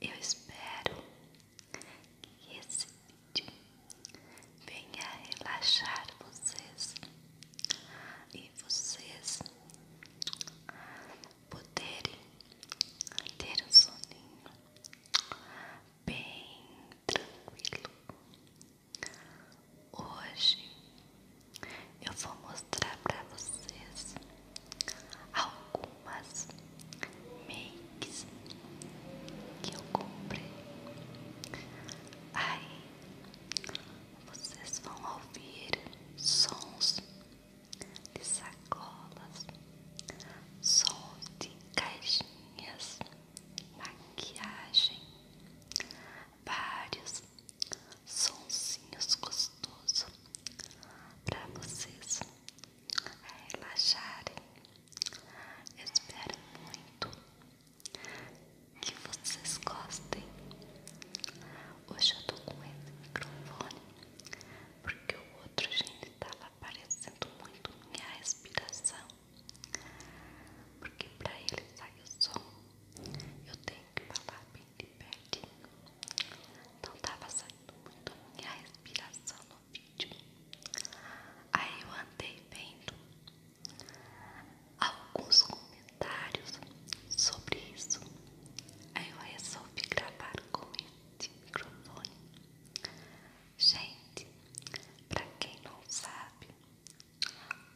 Eu espero que esse vídeo venha relaxar vocês e vocês poderem ter um soninho bem tranquilo. Hoje eu vou mostrar para vocês algumas makes que eu comprei. Aí vocês vão ouvir sons de sacolas, som de caixinhas, maquiagem, vários sonsinhos gostosos para vocês relaxarem. espero muito que vocês gostem. Hoje eu tô com esse microfone porque o outro, gente, tava aparecendo muito minha respiração. Porque para ele sair o som, eu tenho que falar bem bem pertinho. Não tava tá saindo muito minha respiração no vídeo. Aí eu andei vendo alguns comentários sobre isso. Aí eu resolvi gravar com esse microfone. Gente, para quem não sabe,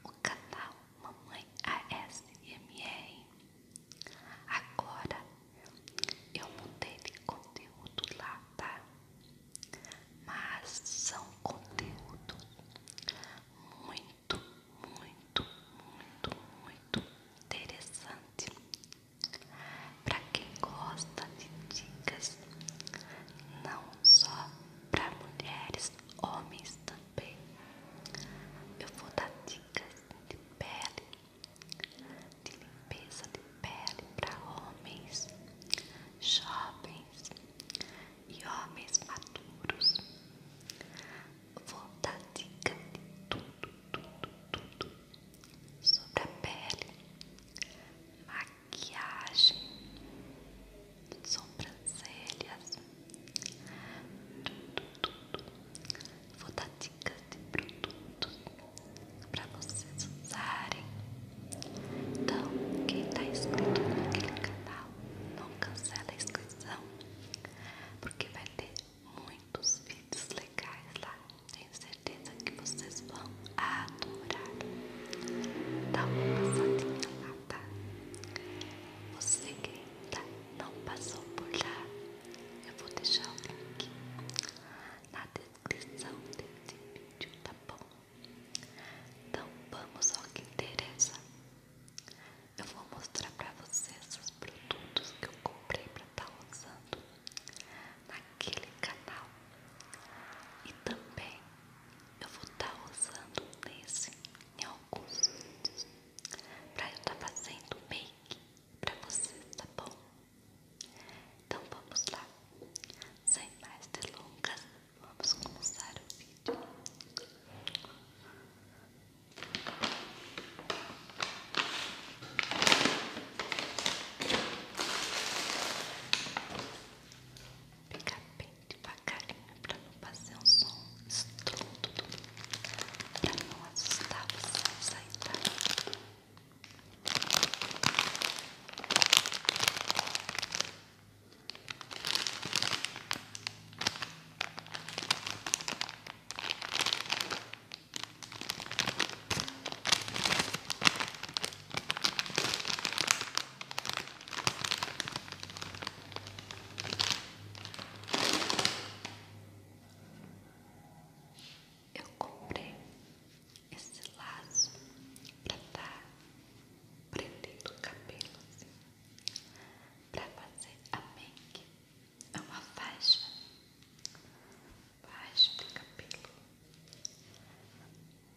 o canal Mamãe ASMR Agora eu mudei de conteúdo lá, tá? Mas são conteúdo muito, muito, muito, muito interessante para quem gosta de dicas, não só para mulheres, homens também também. Eu vou dar dicas de pele, de limpeza de pele para homens, jovens e homens maduros. Vou dar dicas de tudo, tudo, tudo sobre a pele, maquiagem, sobrancelhas, tudo, tudo. Vou dar dicas de produtos para vocês usarem. Então, quem está inscrito naquele canal, não cancela a inscrição, porque vai ter muitos vídeos legais lá. Tenho certeza que vocês vão adorar. Dá uma passadinha lá tá? Você que tá, não passou por lá, eu vou deixar o link na descrição desse vídeo, tá bom? Então vamos ao que interessa. Eu vou mostrar para vocês os produtos que eu comprei para estar tá usando naquele canal. E também eu vou estar tá usando nesse em alguns vídeos pra eu estar tá fazendo make pra você, tá bom? Então vamos lá, sem mais delongas, vamos começar o vídeo. Fica bem bem devagarinho para não fazer um som estrundo, para não assustar você ao sair eu comprei esse laço pra estar tá prendendo o cabelo assim, pra fazer a make. É uma faixa, faixa de cabelo,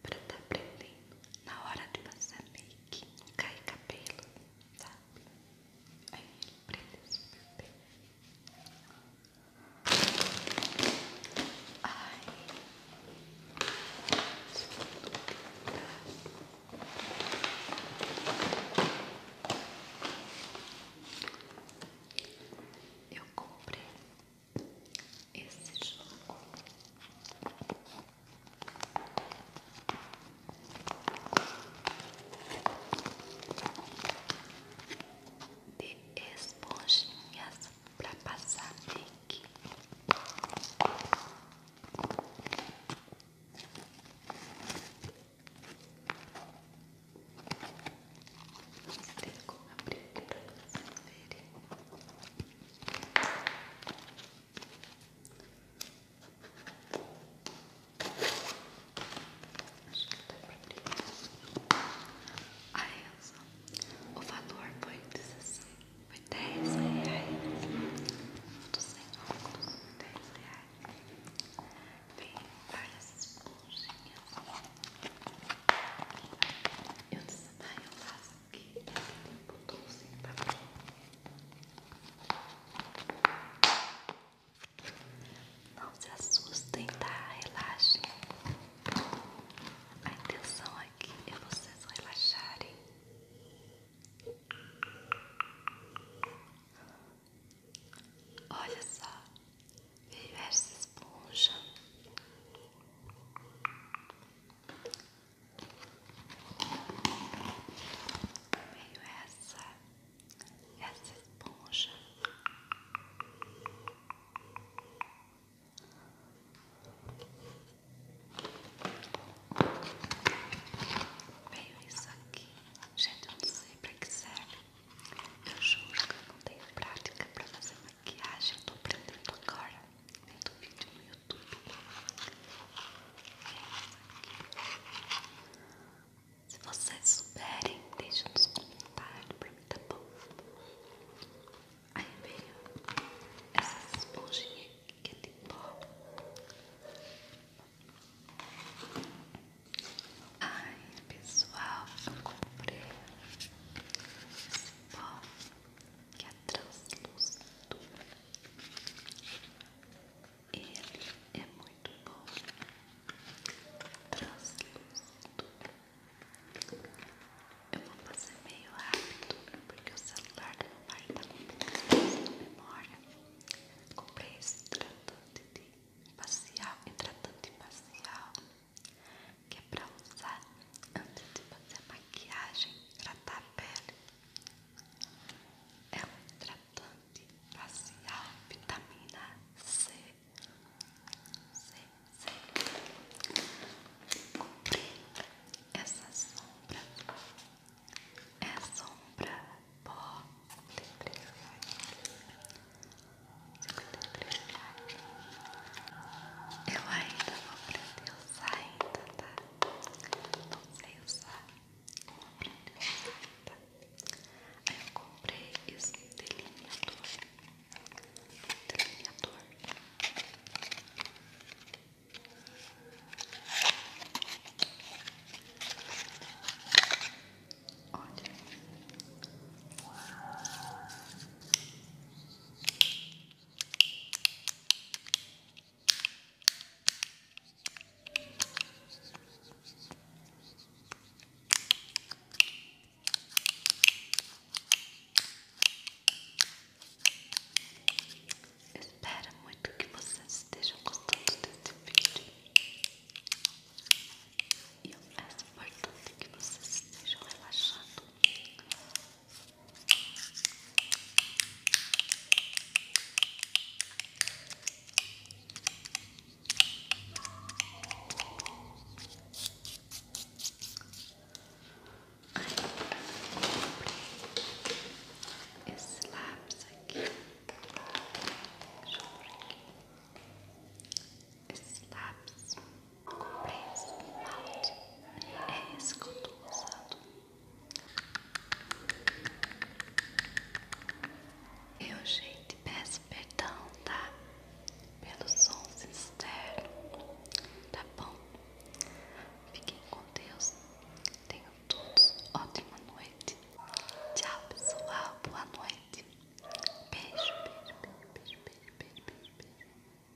pra estar tá prendendo na hora de passar make, cai cabelo, sabe? Tá? Aí ele prende bem. Ai. Eu comprei esse jogo de esponjinhas para passar make. Vou abrir aqui para vocês verem. Acho que tá por A Elsa, o valor foi de 60, foi 10 reais. Dos 100 óculos, 10 reais. Tem essas esponjinhas. Eu disse, eu faço aqui um botãozinho pra mim. Não se assustem, tá? Relaxem. A intenção aqui é vocês relaxarem. Olha só, veio essa esponja. Veio essa, essa esponja. Veio isso aqui. Gente, eu não sei pra que serve. Eu juro que eu não tenho prática pra fazer maquiagem. Eu tô aprendendo agora. Vendo vídeo no tudo. Se vocês souberem, deixa nos comentários pra mim, tá bom? Aí veio essa esponjinha que tem é pó. Ai, pessoal, eu comprei esse pó que é translúcido. Ele é muito bom, translúcido. Eu vou fazer meio rápido porque o celular do meu pai tá com poucas na memória. Comprei esse tratante de facial, hidratante facial, que é para usar antes de fazer maquiagem, tratar a pele. É um tratante facial vitamina C. C, C. Comprei essa sombra. É sombra pó. 53 reais. Eu ainda vou aprender eu usar ainda, tá? não sei usar uma prenda escrita. Aí eu comprei esse delineador. Delineador. Olha. Espero muito que vocês estejam gostando desse vídeo. E eu peço, portanto, que vocês estejam relaxados. Esses lápis aqui, deixa eu por aqui, esses lápis. Compreensa o malte é esse que eu estou usando. Eu, gente, peço perdão, tá? Pelos sons externos, tá bom? Fiquem com Deus. Tenham todos ótima noite. Tchau, pessoal. Boa noite. beijo, beijo, beijo, beijo, beijo, beijo. beijo.